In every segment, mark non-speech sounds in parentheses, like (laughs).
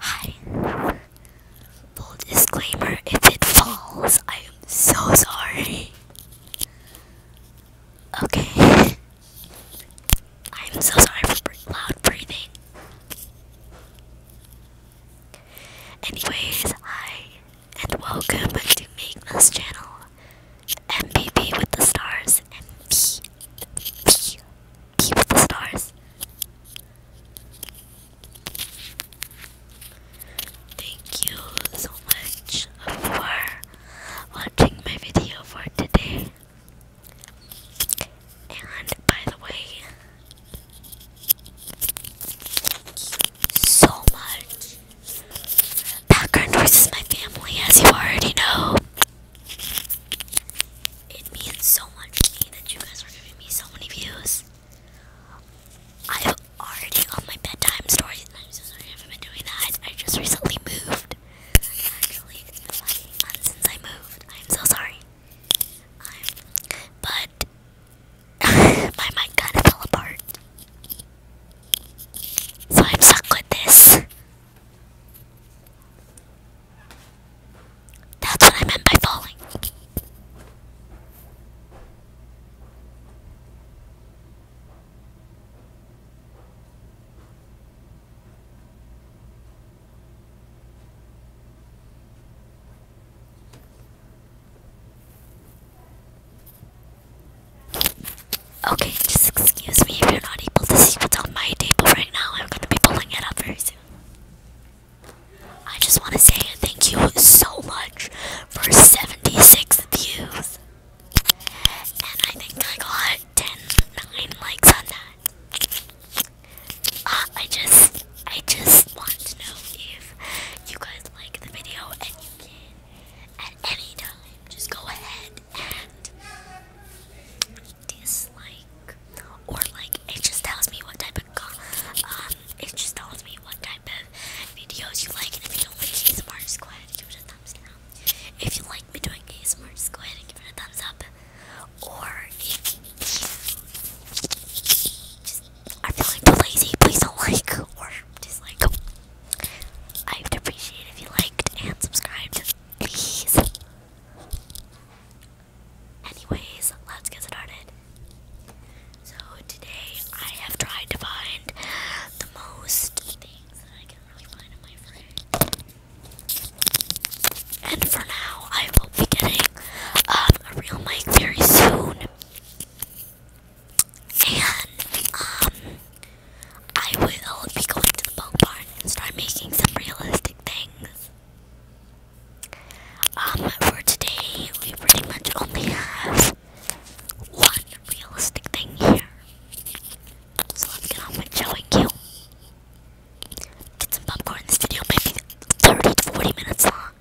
Hi. Full disclaimer if it falls, I am so sorry. Okay. I'm so sorry for loud breathing. Anyways, hi and welcome to Make This channel. MPP with the stars. MP. with the stars. Thank you so much for watching my video for today. And by the way, so much Background noise is my family, as you already know. It means so much to me that you guys are giving me so many views. I've already on my bedtime stories, and I'm so sorry I haven't been doing that. I just recently moved. Actually, it's been since I moved. I'm so sorry. but (laughs) My mic kinda fell apart. So I'm stuck with this. That's what I meant by falling. Okay, just excuse me if you're not able to see what's on my table right now. I'm gonna be pulling it up very soon. I just want to say thank you so much for 76 views. And I think I got 10, 9 likes on that. Uh, I just, I just want to know if you guys like the video and you at any time, just go ahead and dislike or like. It just tells me what type of um. It just tells me what type of videos you like, and if you don't like ASMR, just go ahead and give it a thumbs down. If you like me doing ASMR, go ahead and give it a thumbs up. Or just I feel like too lazy. Please don't like or dislike. I'd appreciate if you liked and subscribed, please. Anyways, let's get started. So today I have tried to find the most things that I can really find in my fridge. And for now, I will be getting um, a real mic very soon and um, I will be going to the bone and start making some realistic things. Um, for today, we pretty much only have one realistic thing here. let's get on with showing you. Did some popcorn this video, maybe 30 to 40 minutes long.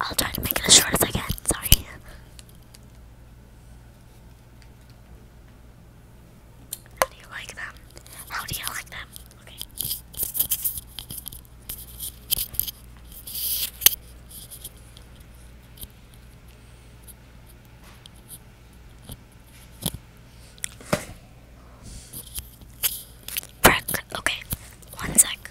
I'll try to make it as short as I can. Sorry. How do you like them? How do you like them? Okay. Brick. Okay. One sec.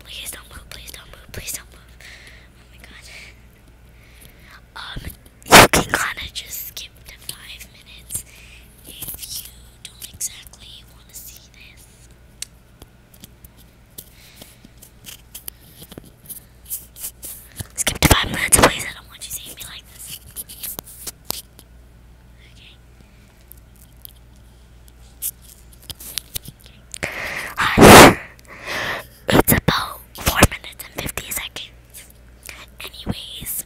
Please don't move, please don't move, please don't move. Oh my god. Um, you can kind of just skip to five minutes if you don't exactly want to see this. Skip to five minutes, please. I don't want you seeing me like this. Okay. (laughs) It's about 4 minutes and 50 seconds. Anyways,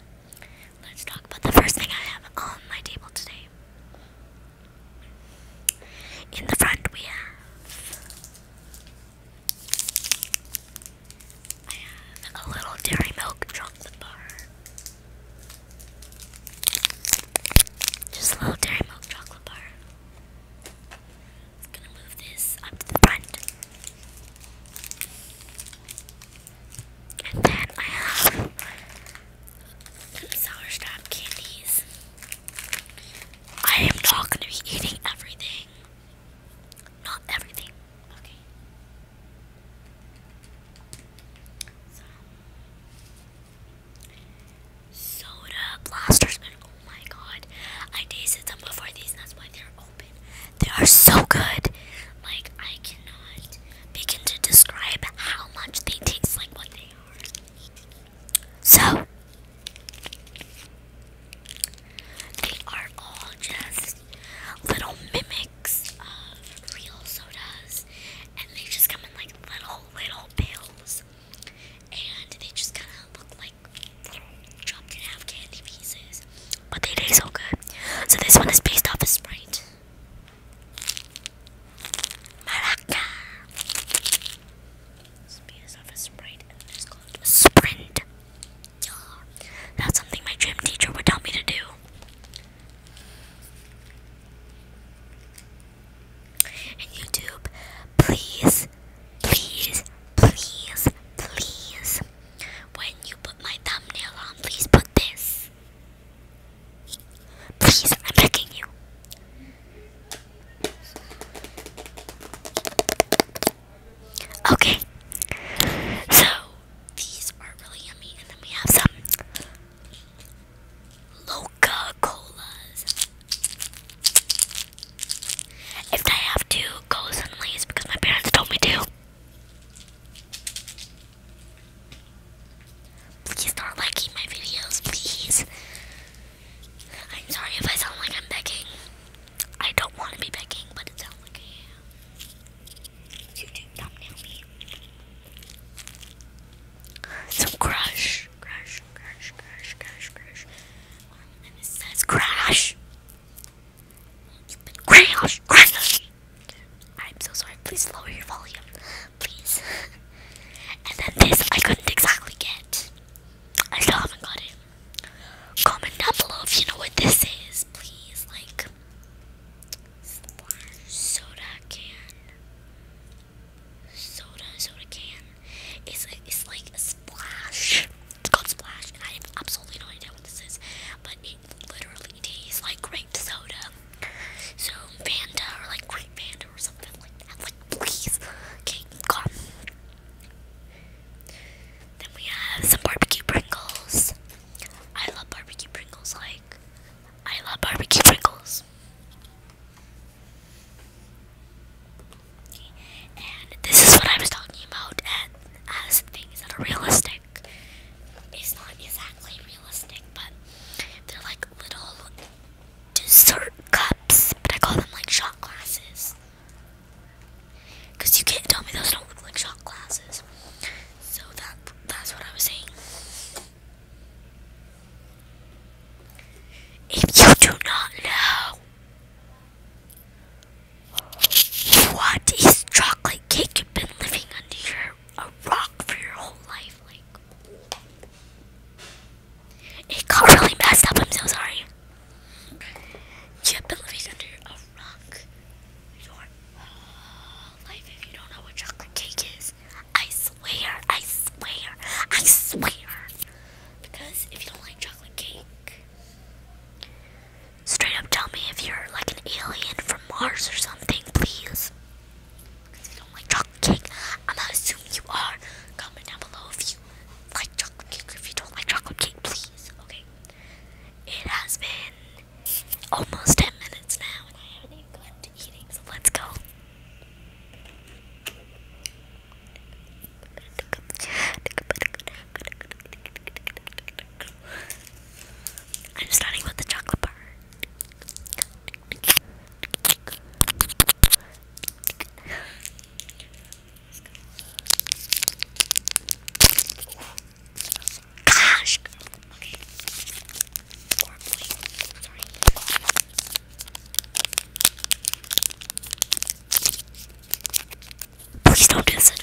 let's talk about the first thing I have on my table today. In the front, we have. I have a little dairy milk chocolate bar. Just a little dairy milk chocolate bar. I'm gonna move this up to the front. And then I have some sourstop candies. I am not gonna be eating everything. Not everything. Okay soda blasters, oh my god, I tasted them before these, and that's why they're open. They are so good. Like I cannot begin to describe how much they taste like what they are. So they are all just little mimics of real sodas and they just come in like little, little pills, and they just kind of look like little chopped in half candy pieces, but they taste so good. So this one is based off a of Sprite. Maraca. based off a Sprite, and it's called Sprint. Yeah. That's something my gym teacher would tell me to do. YouTube, please, please, please, please, when you put my thumbnail on, please put this. Please, I'm begging you. Okay, so these are really yummy, and then we have some Loca Colas. If I have to go suddenly, because my parents told me to. Please not liking my videos, please. I'm sorry if I sound like I'm begging. I don't want to be begging, but it sounds like I am. YouTube thumbnail me. Some crash. crush, crush, crush, crush, crush. and it says crash. you crash, crash. I'm so sorry. Please lower your volume, please. (laughs) and then this I couldn't exactly get. I still haven't got it. Comment down below if you know what this is, please. Like, soda can. Soda, soda can. It's like, it's like a splash. It's called splash, and I have absolutely no idea what this is, but it literally tastes like grape soda. So Fanta or like grape Fanta or something like that. Like please, okay, come. Then we have some barbecue Pringles. I love barbecue Pringles. Like I love barbecue Pringles. And this is what I was talking about and as things that are realistic. It's not exactly realistic, but they're like little dessert cups, but I call them like shot glasses. Cause you can't tell me those don't look like shot glasses. So that that's what I was saying. If you do not know what is chocolate cake, you've been living under your, a rock for your whole life. Like it got really messed up. I'm so sorry. You've been living under a rock life if you don't know what chocolate cake is. I swear, I swear, I swear. Because if you don't like chocolate cake, straight up tell me if you're like an alien from Mars or something, please. Because if you don't like chocolate cake, I'm gonna you are. Comment down below if you like chocolate cake or if you don't like chocolate cake, please. Okay. It has been almost 10 minutes now, and I haven't even gotten let's go. I'm starting with the chocolate bar. Gosh! Okay. Or please. Sorry. Please don't do this. Okay. Gosh. Okay.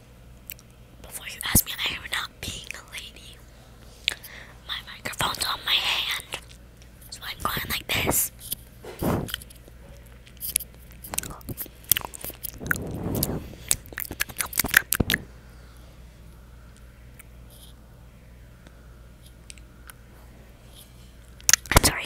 Before you ask me, I am not being a lady. My microphone's on my hand, so I'm going like this. I'm sorry.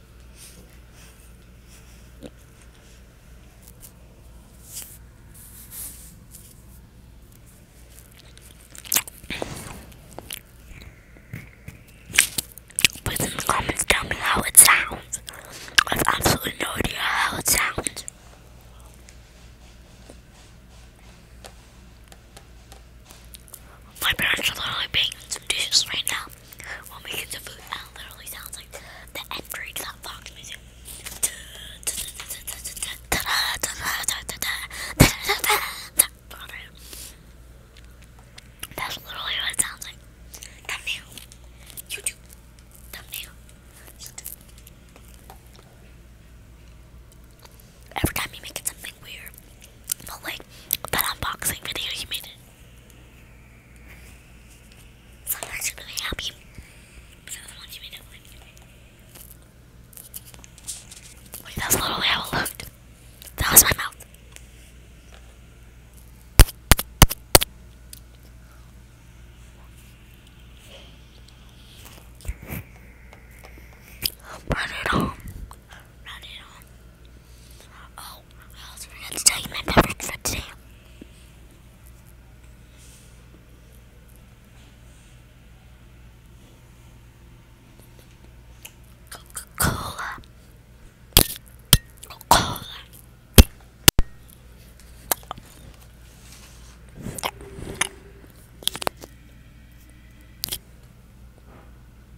Please in the comments tell me how it sounds. I have absolutely no idea how it sounds. My parents are literally baking some dishes right now while making some food. That literally sounds like the entry to that Fox music. That's literally what it sounds like. Thumbnail. YouTube. Thumbnail. Every time you make something weird, like that unboxing video you made some parts are really happy, some of the ones you made up Wait, that's literally how it looked. That was my mouth. Run it home. Run it home. Oh, I also forgot to tell you my beverage for today. Coca-Cola. Coca-Cola.